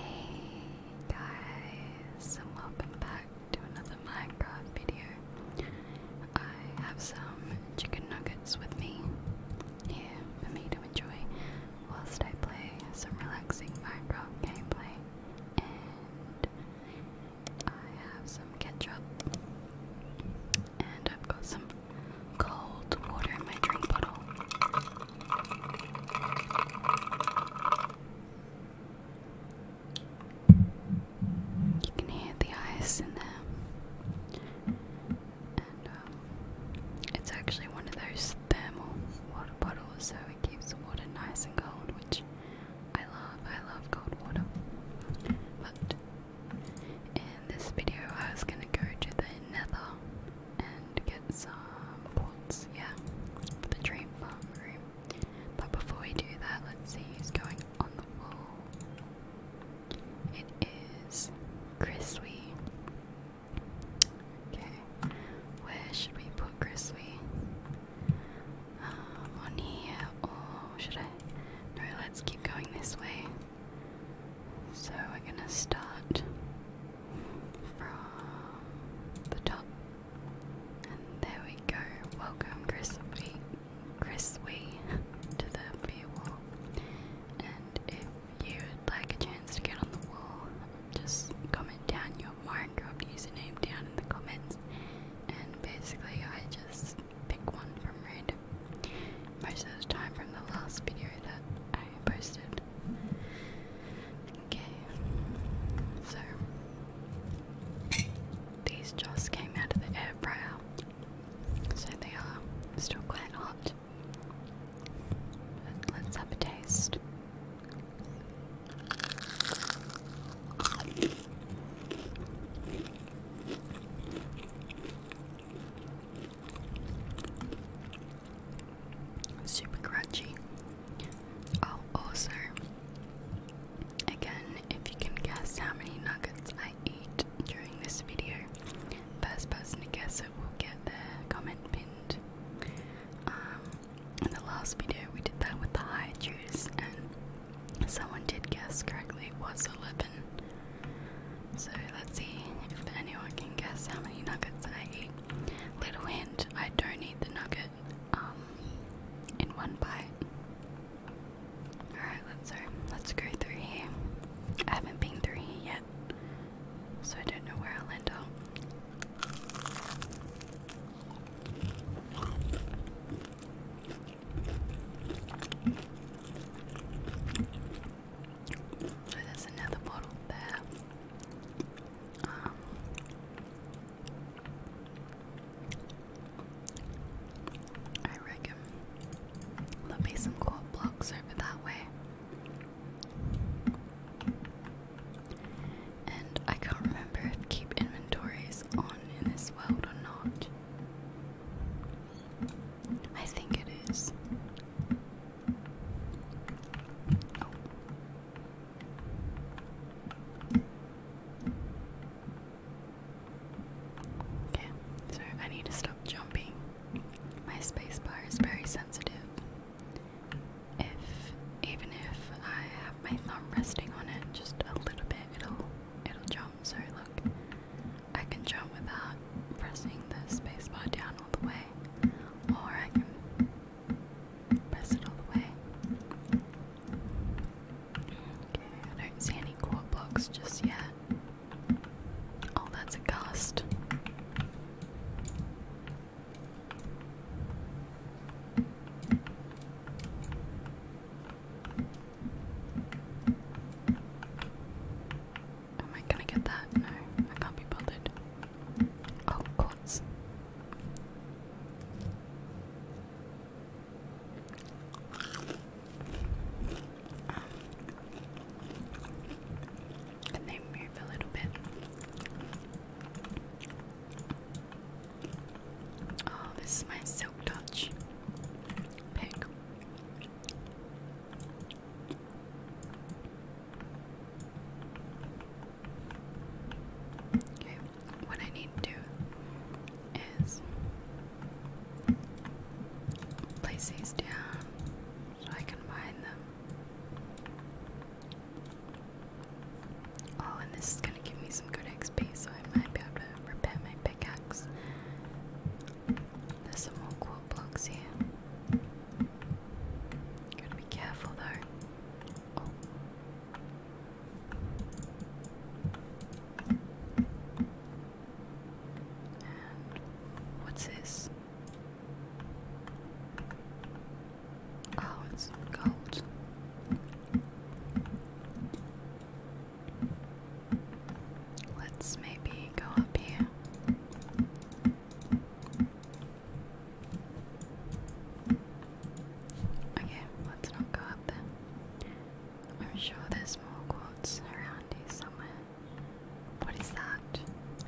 Hey guys, and welcome back to another Minecraft video. I have some chicken nuggets with me here for me to enjoy whilst I play some relaxing Minecraft gameplay. And I have some ketchup, and I've got some cold water in my drink bottle. You can hear the ice in there, um, it's actually one of those thermal water bottles, so it keeps the water nice and cold, which I love. I love cold water. But in this video, I was gonna go to the Nether and get some quartz, yeah, for the dream farm room. But before we do that, let's see who's going on the wall. It is Chrisley. Okay, where should we put Chrisley? Um, on here, or should I? No, let's keep going this way. So we're gonna start from the top. And there we go. Welcome, Chris Wee, Chris Wee to the wall. And if you would like a chance to get on the wall, just comment down your Minecraft username down in the comments. And basically, I just pick one from random. Most of the time from the last video that I posted. Okay, so these just came out of the air fryer, so they are still quite hot. let's have a taste super crunchy. Oh, also, oh, again, if you can guess how many nuggets I eat during this video, first person to guess it will get their comment pinned. Um, in the last video, we did that with the high juice, and someone did guess correctly it was 11. So let's see if anyone can guess how many nuggets I eat. Little hint, I don't eat the nugget um, in one bite. Alright, let's so uh, let's go through here. I haven't been through here yet, so I don't know where I'll end up. So there's another bottle there. I reckon there'll be some cool blocks over that way. And I can't remember if keep inventory on in this world or not. I think it is. Okay, so I need to stop jumping. My spacebar is very sensitive. If even if I have my thumb resting on it just a little bit, it'll it'll jump. So look, I can jump without pressing the spacebar down all the way, or I can press it all the way. Okay, I don't see any quad blocks just yet. Oh, that's a gust. Am I gonna get that? No, I can't be bothered. Oh, quartz. Um, they move a little bit. Oh, this is my silk touch pick. Okay, what I need to do is place these down so I can bind them. Oh, and this is gonna give me some good XP, so I might be able to repair my pickaxe. There's some more cool blocks here. Gotta be careful though. what's this? Oh, it's gold. Let's maybe go up here. Okay, let's not go up there. I'm sure there's more quartz around here somewhere. What is that?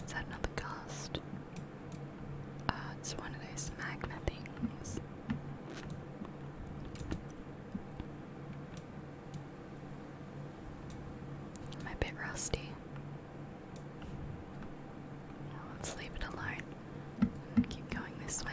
Is that another cast? Uh, it's one of those magma things. I'm a bit rusty i let's it alone keep going this way.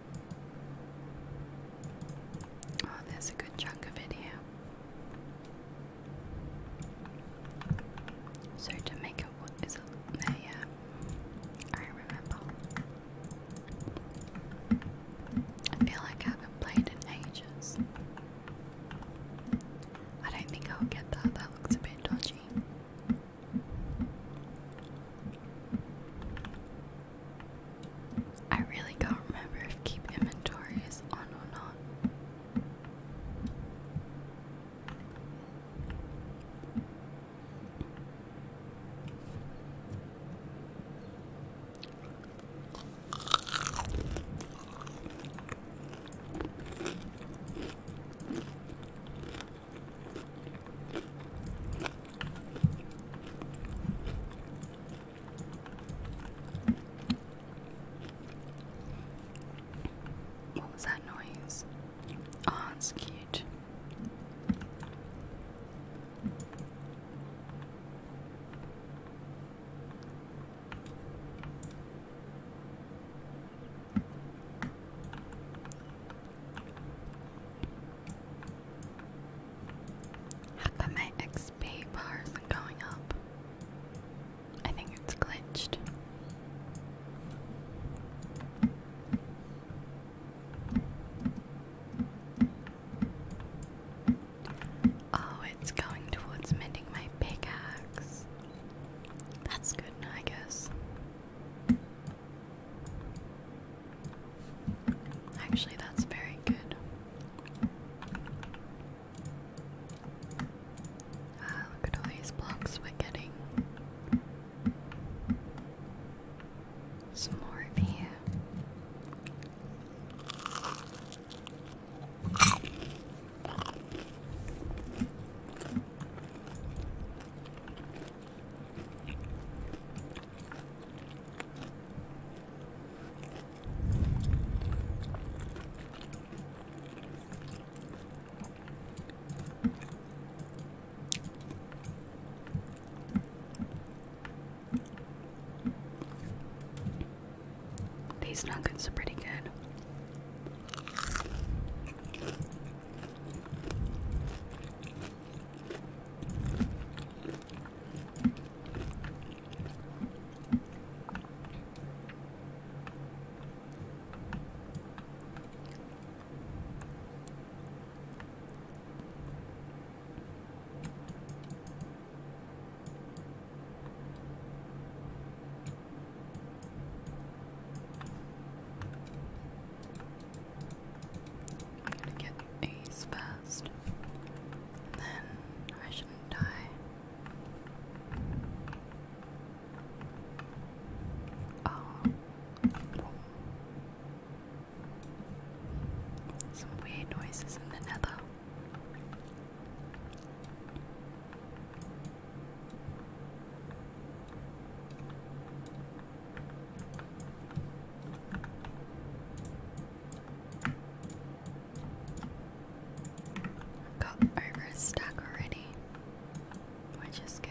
Oh, there's a good chunk of it So to make it, what is it? yeah. I remember. I feel like I haven't played in ages. I don't think I'll get that. That looks a bit dodgy. I really can't remember if keep inventories on or not. What was that noise? Oh, it's cute. How come my XP bar isn't going up? I think it's glitched. Oh, it's going towards mending my pickaxe. That's good, I guess. Actually, that's very good. Ah, look at all these blocks we're getting. Some more over here. These nuggets are pretty good. I'm gonna get Ace first. then I shouldn't die. Oh. Some weird noises in the nether. Got over a stack already, which is good.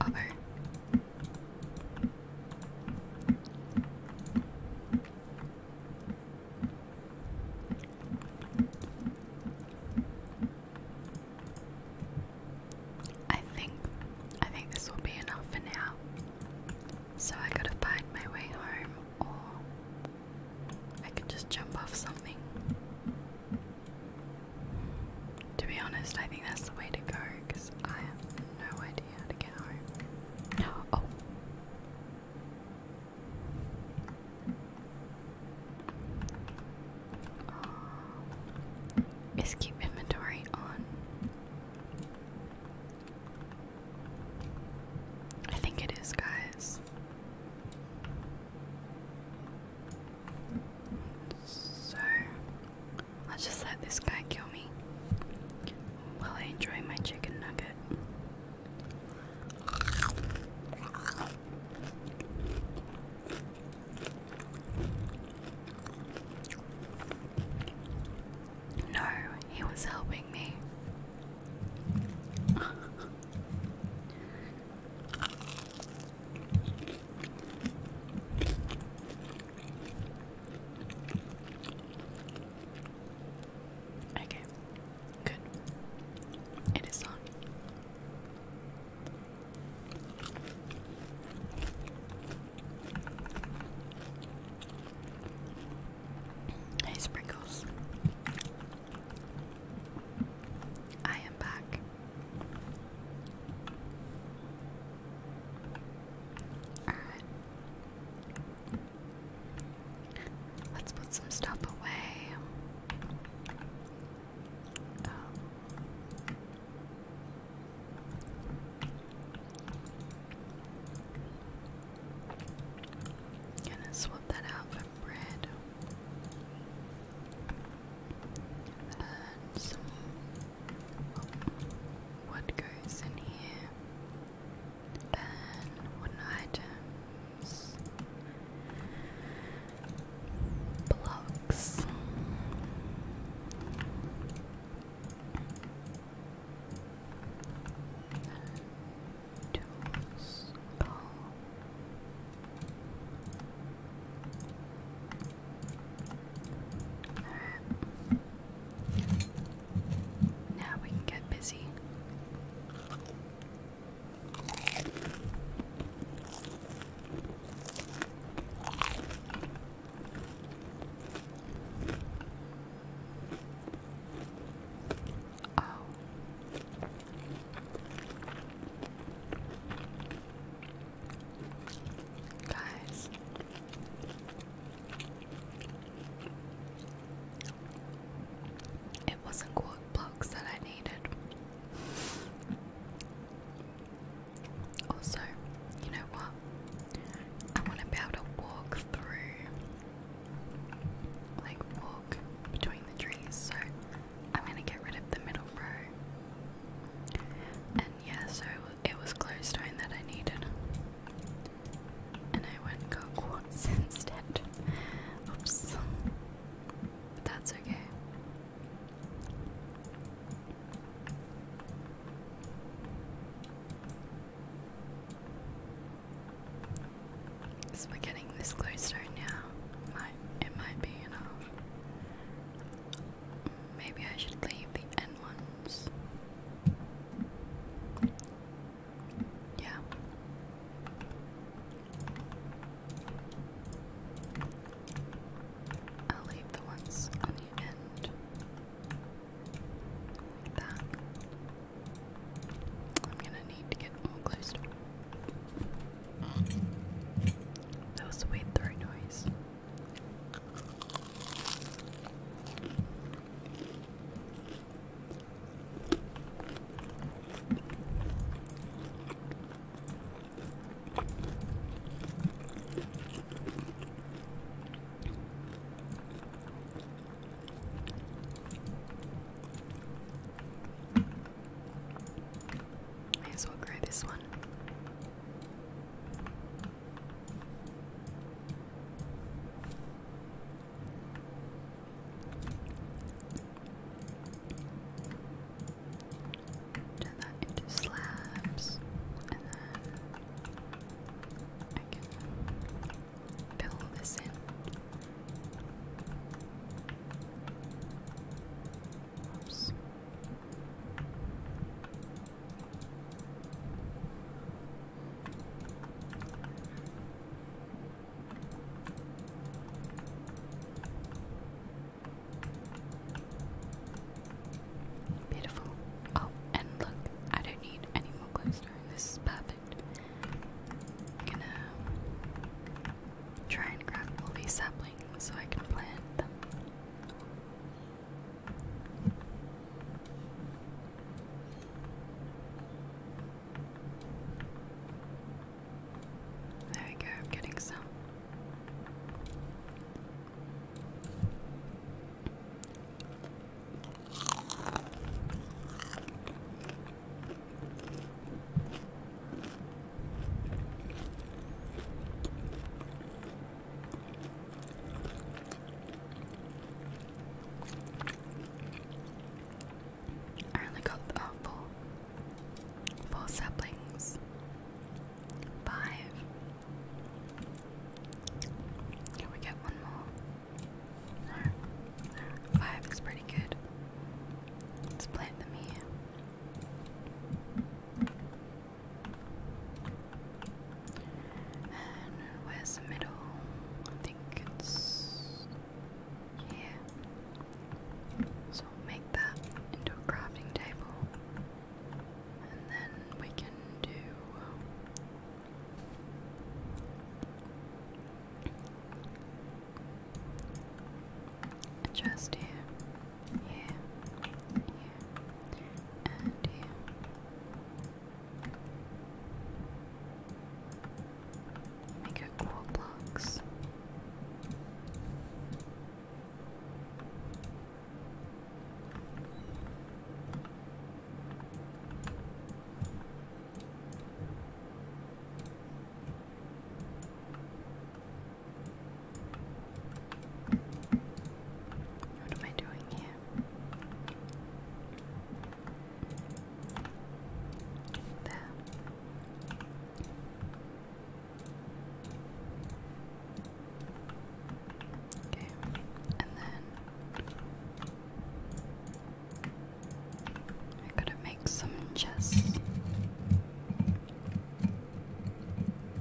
Uh I think I think this will be enough for now. So I gotta find my way home or I could just jump off something. To be honest, I think that's the way to go I have no idea how to get home. Oh. Uh, is keep inventory on? I think it is, guys. So I'll just let this guy kill me while I enjoy my chicken nugget. No, he was helping me. Okay, good. It is on. Hey, Sprinkles. I am back. Alright. Let's put some stuff away. Oh. Gonna swap that out for bread. And some what goes in here? Ban wooden items. Blocks. Tools. Coal. Alright. Now we can get busy. Oh. Guys. It wasn't blocks that I needed. Also, you know what? I want to be able to walk through, like walk between the trees, so I'm going to get rid of the middle row and yeah, so it was glowstone that I needed. And I went and got quartz instead. Oops. But that's okay. So we're getting this glowstone now. Might it might be enough. Maybe I should leave the end ones. Yeah. I'll leave the ones on the end. that. I'm gonna need to get more closer. That weird throw noise. May as well grow this one one. Turn that into slabs, and then I can fill this in. Oops. Beautiful. Oh, and look, I don't need any more glowstone. This is perfect. gonna try and grab all these saplings so I can plant them. There we go, I'm getting some. I only got uh, four, four saplings, five. Can we get one more? Five is pretty good. Let's plant them here. And where's the middle? I think it's here. So make that into a crafting table. And then we can do a here here, here, and here. Make it cool blocks. What am I doing here? There. Okay, and then I gotta make some chests.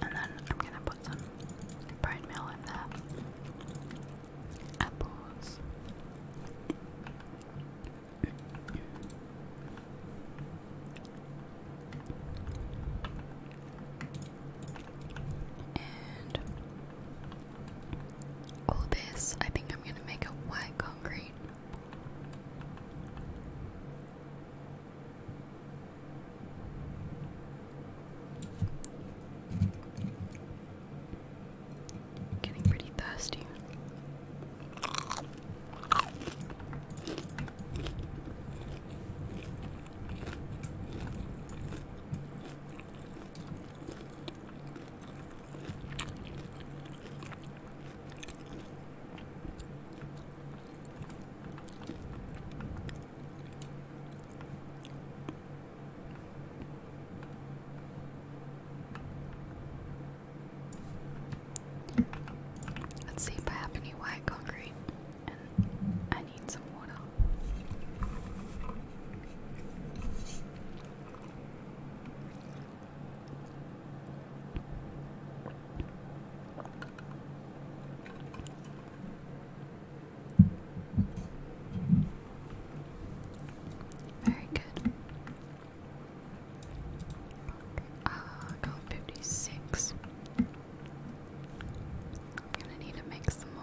And then I'm gonna put some bone meal in there. Apples. And all oh, this, I think I'm gonna make a white concrete. Getting pretty thirsty. Let's see if I have any white concrete, I need some water. Very good. Uh, go 56. I'm gonna need to make some more.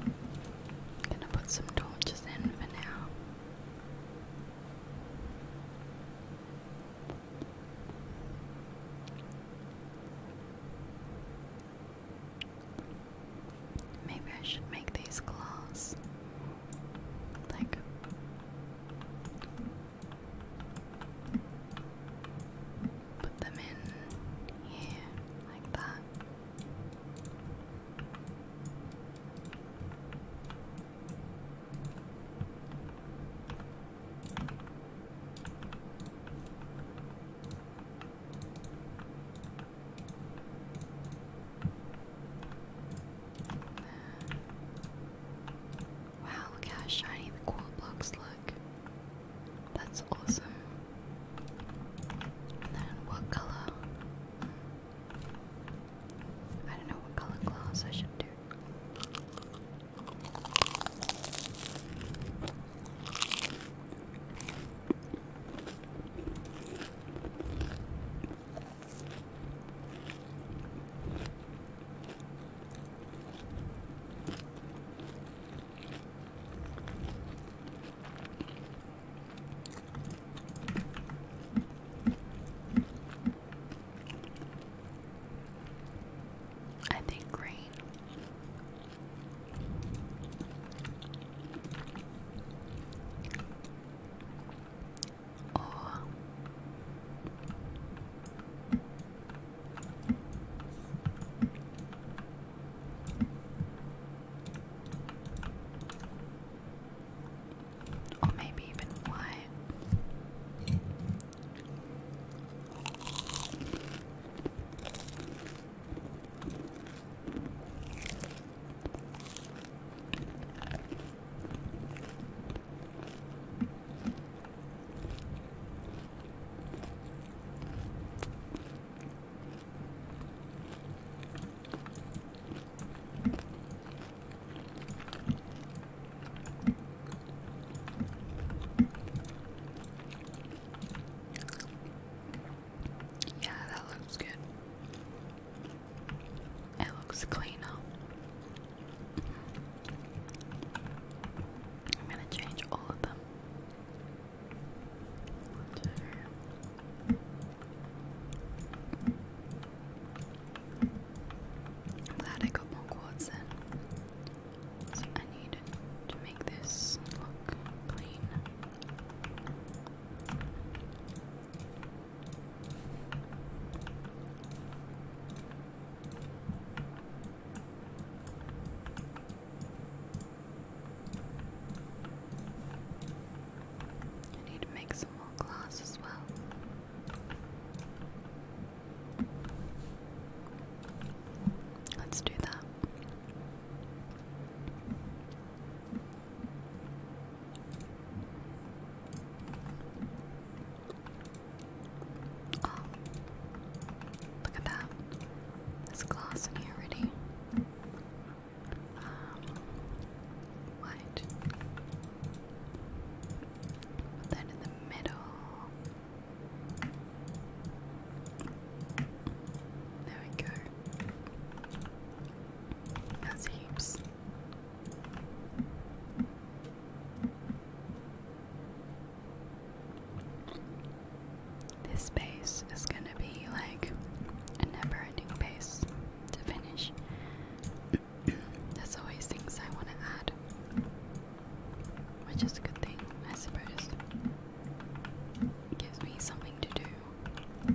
I'm gonna put some torches in for now. Maybe I should make these glass. Like Put them in here like that. Wow, look how shiny the cool blocks look. That's awesome. And then what color? I don't know what color glass I should do. I think green. Or oh. Or maybe even white. Yeah, that looks good. It looks cleaner. I'm gonna change all of them. I'm glad I got more quartz then. I need to make this look clean. I need to make some more glass as well. Let's do that. Oh, look at that. There's glass in here already. Um, Put that in the middle. There we go. That's heaps. This base is gonna be like a never ending base to finish. There's always things I want to add, which is a good thing, I suppose. It gives me something to do.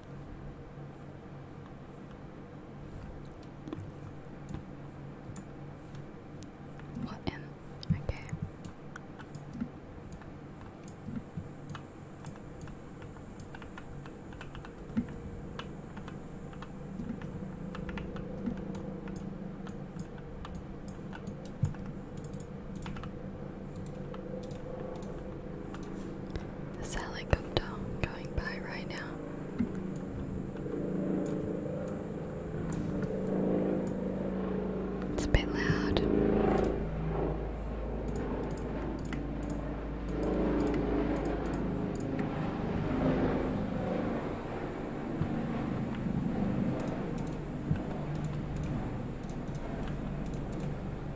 What in? Okay. Salicopter going by right now. It's a bit loud.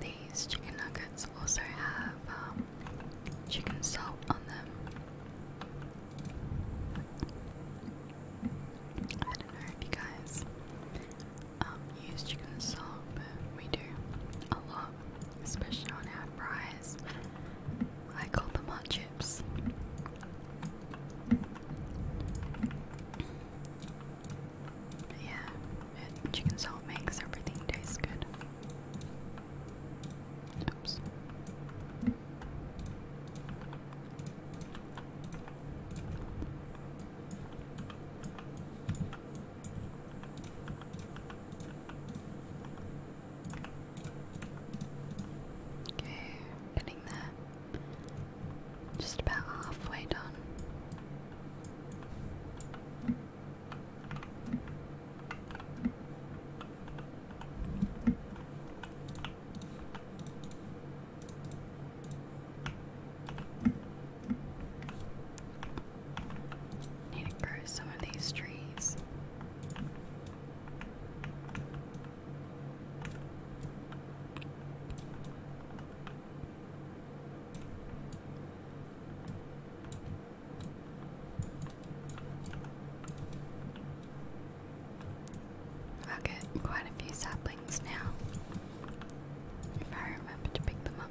These chicken nuggets also have um, chicken salt on them. I don't know if you guys um, use chicken salt, but we do a lot especially on our fries. I call them hot chips. But yeah, chicken salt makes everything taste good. Oops. Okay, getting there. Just about halfway done. Need to grow some of these trees. I'll get quite a few saplings now if I remember to pick them up.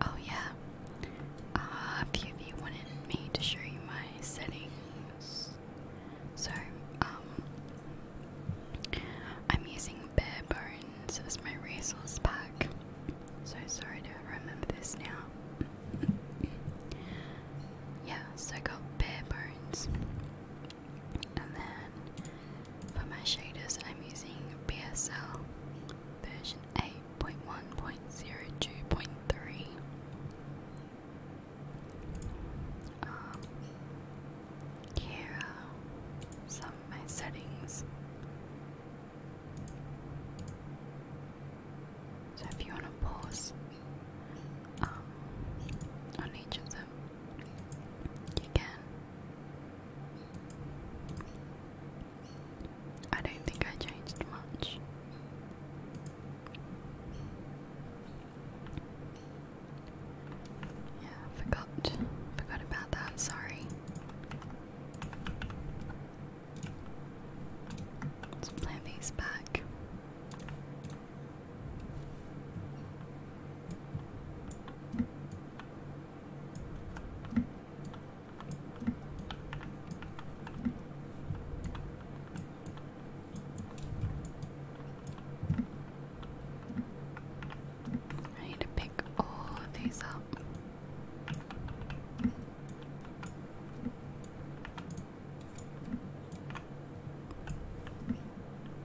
Oh yeah. a few of you wanted me to show you my settings. So, um, I'm using bare bones as my resource pack. So sorry to remember this now. yeah, so I got bare bones. And then for my shaders, I'm using BSL version 8.1.02.3. Um, here some my settings. So if you want to pause um, on each of you can. I don't think I changed much. Yeah, forgot forgot about that, sorry. Let's plant these back. I need to pick all of these up.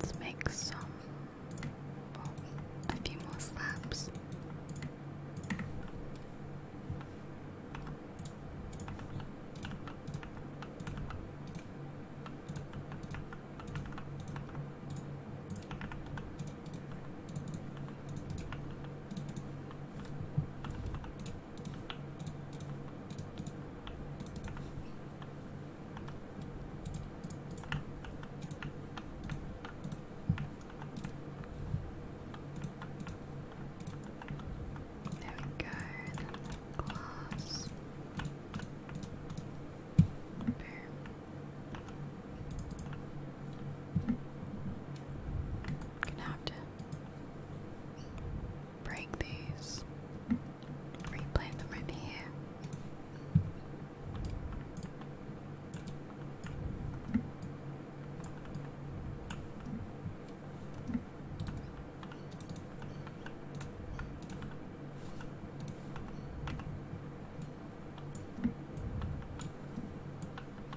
Let's make some, well, a few more slabs. There we go, then Boom. Gonna have to break these, replant them over here.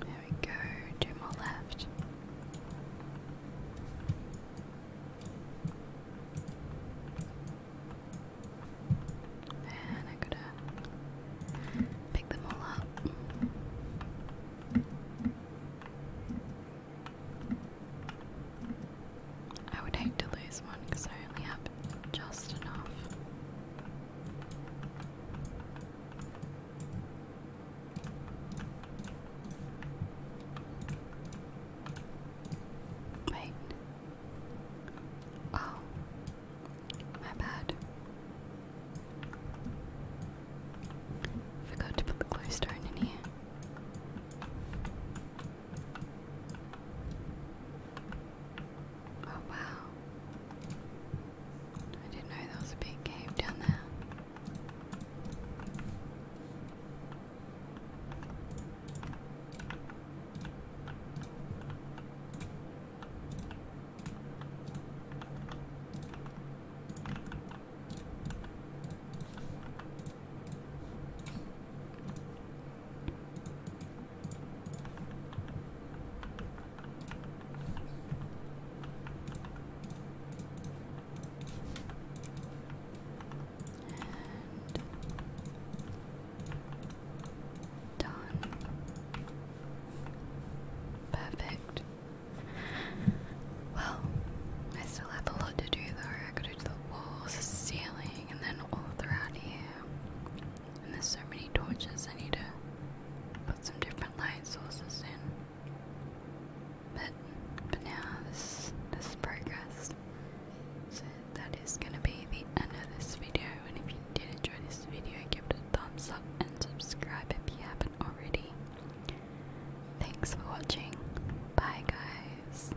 There we go, two more left. And I gotta pick them all up. I would hate to lose one because I only have just enough. Wait. Oh, my bad. Forgot to put the glowstone in here. Oh wow. I didn't know there was a big cave down there. And done. Perfect. Well, I still have a lot to do though coated the walls, the ceiling, and then all throughout here. And there's so many torches, I need to put some different light sources in. But but now this this is progress. So that is gonna be the end of this video. And if you did enjoy this video, give it a thumbs up and subscribe if you haven't already. Thanks for watching. Bye guys.